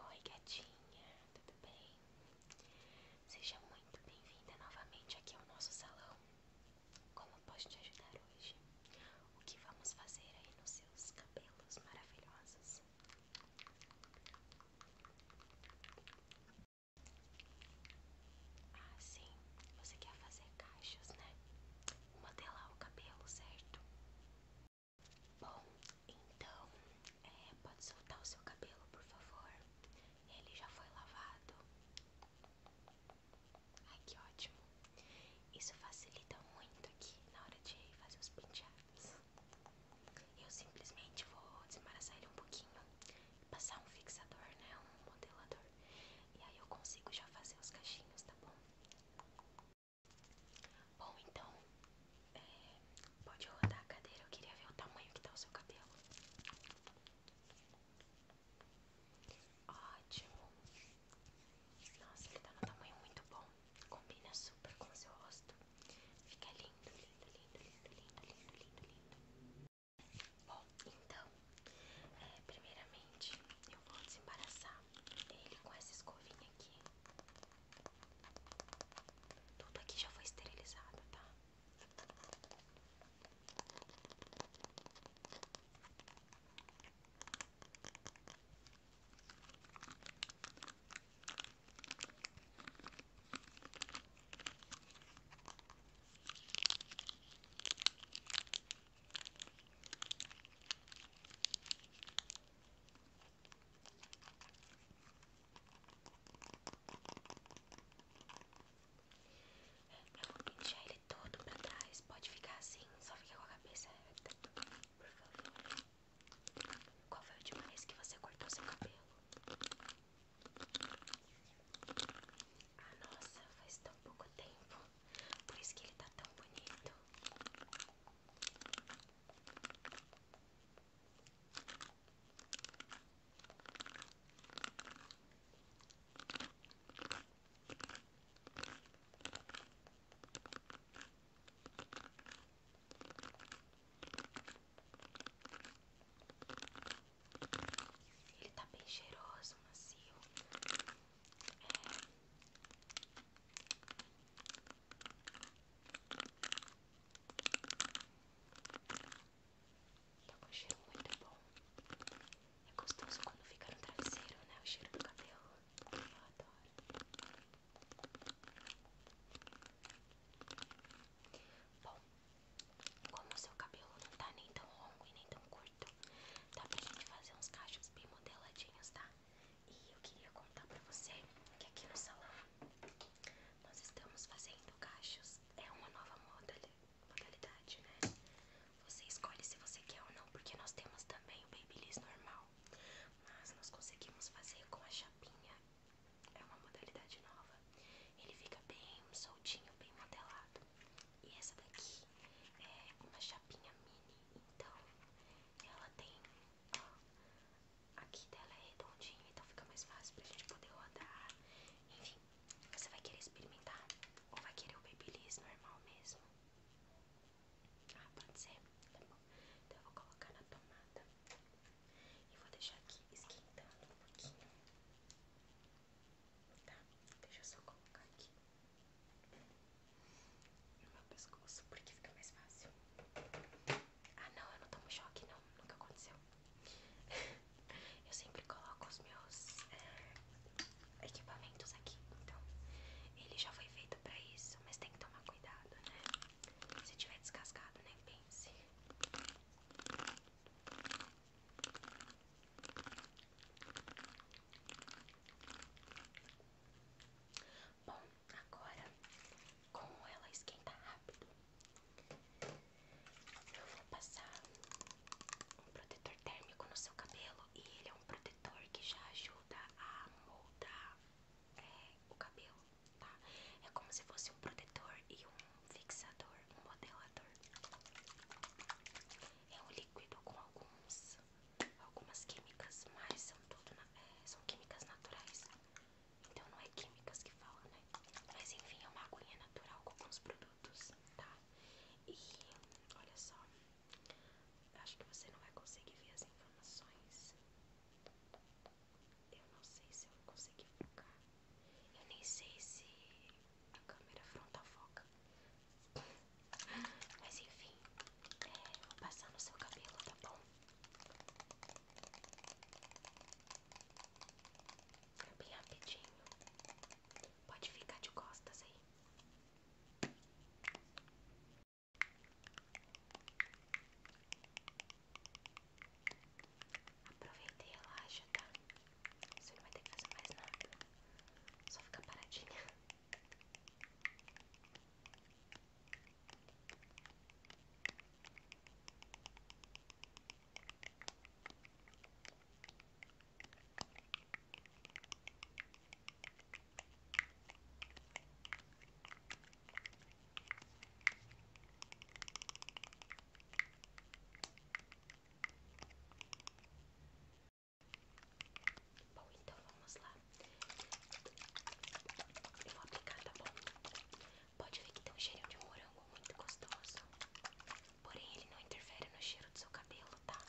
Oi, gatinha, tudo bem? Seja muito bem-vinda novamente aqui ao nosso salão. Como posso te ajudar hoje? O que vamos fazer aí nos seus cabelos maravilhosos? Ah, sim. Você quer fazer caixas, né? Modelar o cabelo, certo? Bom, então, é, pode soltar o seu cabelo, por favor. Ele já foi lavado. Ai, que ótimo. Isso facilita muito aqui na hora de fazer os penteados. Eu simplesmente vou desembaraçar ele um pouquinho, passar um fixador, né, um modelador, e aí eu consigo já fazer os cachinhos, tá bom? Bom, então, é, pode rodar a cadeira, eu queria ver o tamanho que tá o seu cabelo. Ótimo. Nossa, ele tá no tamanho muito bom combina super com seu rosto. Fica lindo, lindo, lindo, lindo, lindo, lindo, lindo, lindo. Bom, então, é, primeiramente eu vou desembaraçar ele com essa escovinha aqui. Tudo aqui já foi esterilizado, tá? Eu vou pentear ele todo pra trás. Pode ficar assim, só fica com a cabeça reta, por favor. Qual foi o última vez que você cortou seu cabelo? Ah, nossa, faz tão pouco tempo. Por isso que ele tá tão bonito. Ele tá bem cheiroso, macio. É. Tá com um cheiro muito bom. É gostoso quando fica no traseiro, né? O cheiro do cabelo. Eu adoro. Bom, como o seu cabelo não tá nem tão longo e nem tão curto, tá pra gente fazer uns cachos bem modeladinhos, tá? E eu queria contar pra você que aqui no salão nós estamos fazendo cachos. É uma nova modalidade, né? Você escolhe se você quer ou não, porque nós temos também o Babyliss normal. Mas nós conseguimos fazer com a chapinha. É uma modalidade nova. Ele fica bem soltinho, bem modelado. E essa daqui é uma chapinha mini. Então, ela tem... aqui dela é redondinha, então fica mais fácil pra gente poder rodar. Enfim, você vai querer experimentar? Ou vai querer o babyliss normal mesmo? Ah, pode ser? Tá bom. Então eu vou colocar na tomada e vou deixar aqui esquentando um pouquinho. Tá? Deixa eu só colocar aqui no meu pescoço porque fica mais fácil. Ah, não, eu não tomo choque, não. Nunca aconteceu. eu sempre coloco os meus eh, equipamentos aqui, então ele já foi feito pra isso, mas tem que tomar cuidado, né? Se tiver descascado, nem né, pense. Bom, agora, como ela esquenta rápido, eu vou passar um protetor térmico no seu cabelo e ele é um protetor que já ajuda a moldar é, o cabelo, tá? É como se fosse um protetor e um fixador, um modelador. É um líquido com alguns, algumas químicas, mas são tudo é, são químicas naturais. Então não é químicas que fala, né? Mas enfim, é uma aguinha natural com alguns produtos, tá? E olha só, acho que você não vai conseguir ver as informações. Eu não sei se eu vou conseguir focar. Eu nem sei se a câmera frontal foca. Mas enfim, é, vou passar no seu cabelo, tá bom? É bem rapidinho. Pode ficar de costas aí. Aproveita e relaxa, tá? Você não vai ter que fazer mais nada. Só fica paradinha. Bom, então vamos lá. Eu vou aplicar, tá bom? Pode ver que tem um cheirinho de morango muito gostoso. Porém, ele não interfere no cheiro do seu cabelo, tá?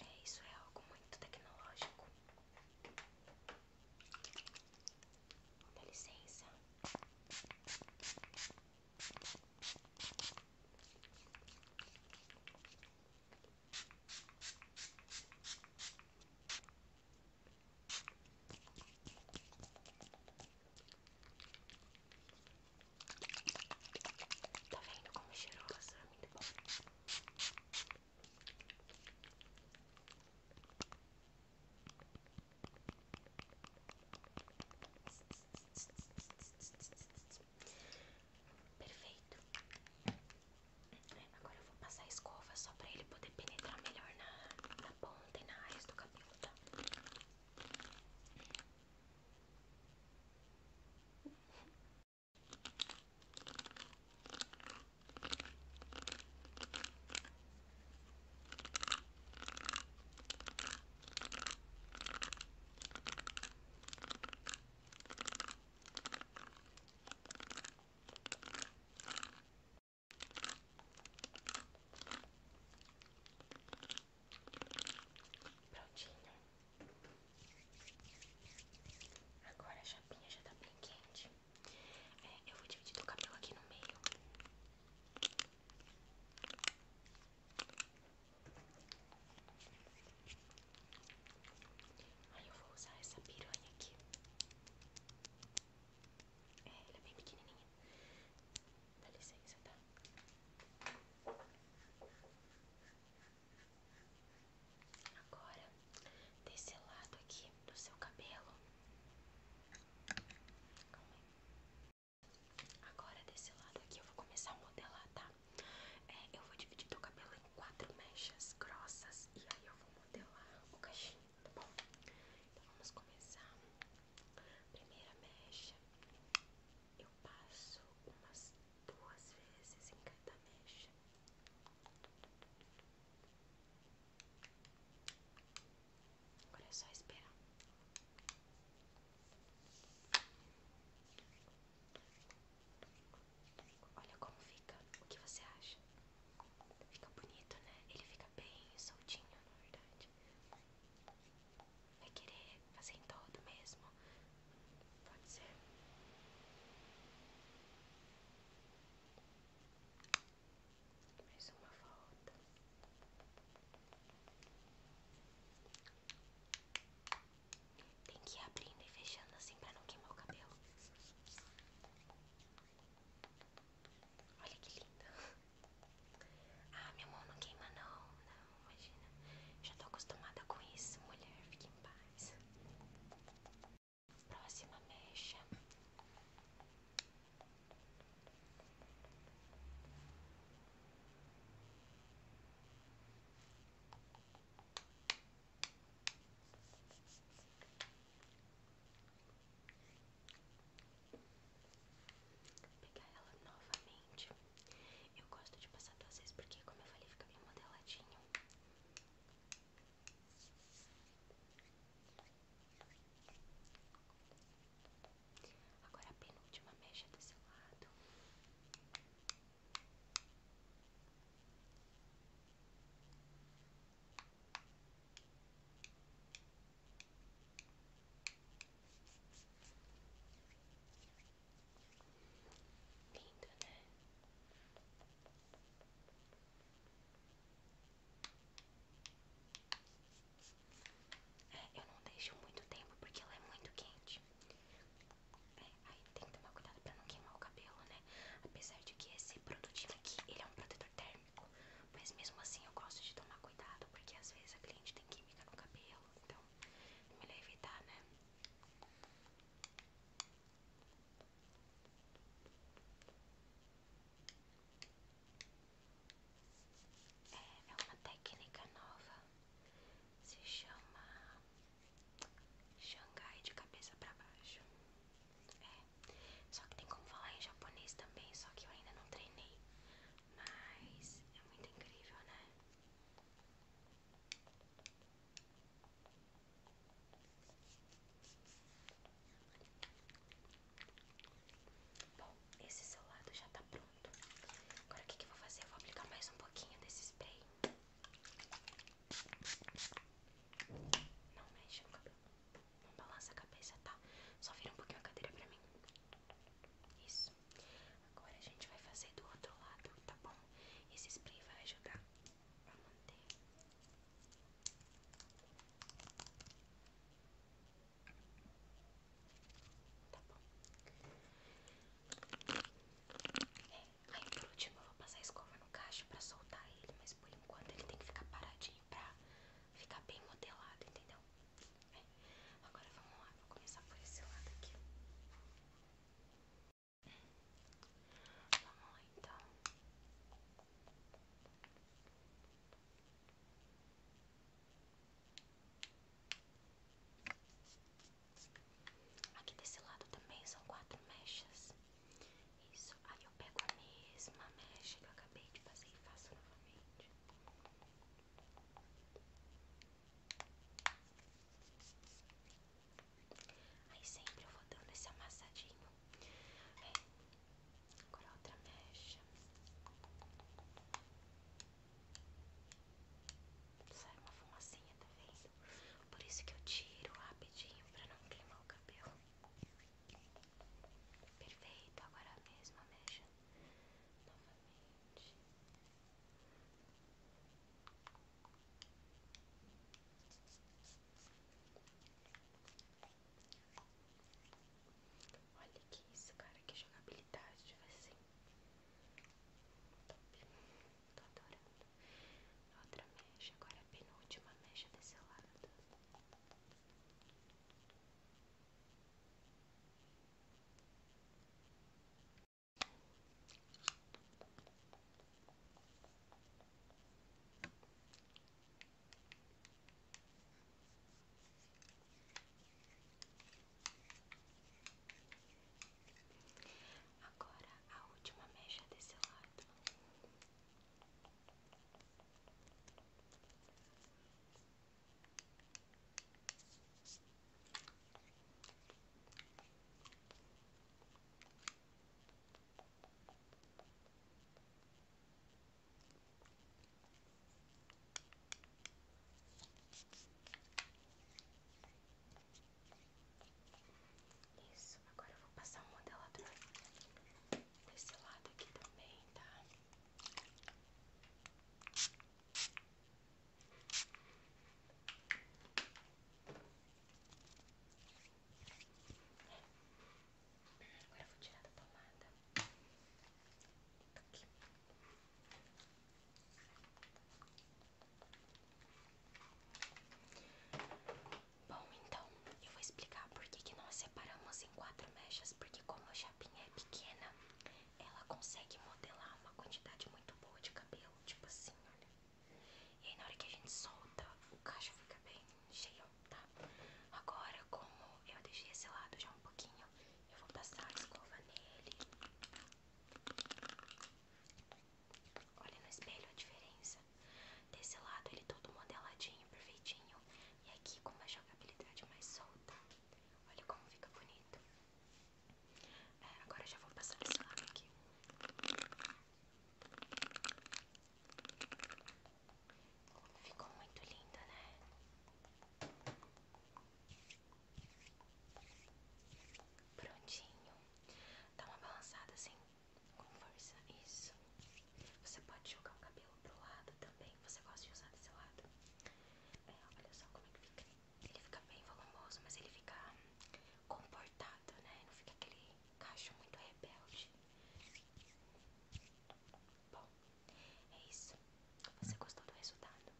É, isso é algo muito tecnológico. Dá licença. Tá vendo como é cheirosa? Muito bom. Perfeito. Agora eu vou passar a escova só para ele poder penetrar melhor na, na ponta e na raiz do cabelo, tá? Prontinho. Agora a chapinha já está bem quente. É, eu vou dividir o cabelo aqui no meio. Aí eu vou usar essa piranha aqui. É, ela é bem pequenininha. Dá licença, tá? Agora, desse lado aqui do seu cabelo. Calma aí. Agora, desse lado aqui, eu vou começar a modelar, tá? É, eu vou dividir teu cabelo em quatro mechas grossas e aí eu vou modelar o cachimbo tá bom? Então, vamos começar. Primeira mecha, eu passo umas duas vezes em cada mecha. Agora é só esperar. Olha como fica. O que você acha? Fica bonito, né? Ele fica bem soltinho, na verdade. Vai querer fazer em todo mesmo? Pode ser. Mais uma volta. Tem que ir abrindo e fechando assim pra não queimar o cabelo. Olha que linda. Ah, minha mão não queima não, não, imagina. Já tô acostumada com isso, mulher, fique em paz. Próxima mecha. Vou pegar ela novamente. Eu gosto de passar duas vezes porque, como eu falei, fica bem modeladinho. Agora a penúltima mecha do seu lado. Lindo, né? É, eu não deixo muito tempo porque ela é muito quente. É, aí tem que tomar cuidado para não queimar o cabelo, né? Apesar de que esse produtinho aqui, ele é um protetor térmico. Mas mesmo assim eu gosto de tomar cuidado, porque às vezes a cliente tem química no cabelo. Então é melhor evitar, né? É, é uma técnica nova, se chama Xangai de cabeça para baixo. É, só que tem como falar em japonês também, só que eu ainda não treinei. Mas é muito incrível, né? Bom, esse lado já tá pronto. Agora o que, que eu vou fazer? Eu vou aplicar mais um pouquinho desse spray. Não mexa no cabelo. Não balança a cabeça, tá? Só vira um pouquinho a cadeira pra mim. Isso. Agora a gente vai fazer do outro lado, tá bom? Esse spray vai ajudar a manter Tá bom. É, aí por último eu vou passar a escova no cacho pra soltar ele, mas por enquanto ele tem que ficar paradinho pra ficar bem modelado, entendeu? É. Agora vamos lá, vou começar por esse lado aqui. Vamos lá então. Aqui desse lado também são quatro mechas. Isso, aí eu pego a mesma mecha que eu acabei de fazer e faço novamente. Aí sempre eu vou dando esse amassadinho. É. Agora outra mecha. Sai uma fumacinha, tá vendo? Por isso que eu tiro rapidinho pra não queimar o cabelo. Perfeito, agora a mesma mecha. Novamente. Olha que isso, cara, que jogabilidade assim. Top. Tô adorando. Outra mecha, agora é a penúltima mecha desse lado. Agora a última mecha desse lado. Isso, agora eu vou passar um modelador desse lado aqui também, tá? Tá Agora eu vou tirar da pomada. Tá aqui. Bom, então eu vou explicar por que, que nós separamos em quatro mechas, porque como a chapinha é pequena, ela consegue modelar uma quantidade muito boa de cabelo, tipo assim, olha. E na hora que a gente solta, o caixa fica bem cheio, tá? Agora, como eu deixei esse lado já um pouquinho, eu vou passar a escova nele. Olha no espelho a diferença. Desse lado ele todo modeladinho, perfeitinho. E aqui com a jogabilidade mais solta. Olha como fica bonito. É, agora eu já vou passar desse lado aqui. Ficou muito linda né? Prontinho. Dá uma balançada assim, com força. Isso. Você pode jogar o cabelo pro lado também. Você gosta de usar do seu lado? É, olha só como é que fica. Ele fica bem volumoso, mas ele fica comportado. Né? Não fica aquele cacho muito rebelde. Bom, é isso. Você gostou do resultado?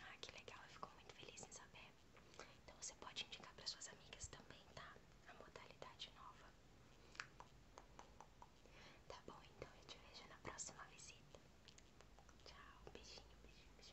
Ah, que legal. Eu fico muito feliz em saber. Então você pode indicar para suas amigas também, tá? A modalidade nova. Tá bom, então eu te vejo na próxima visita. Tchau, beijinho, beijinho.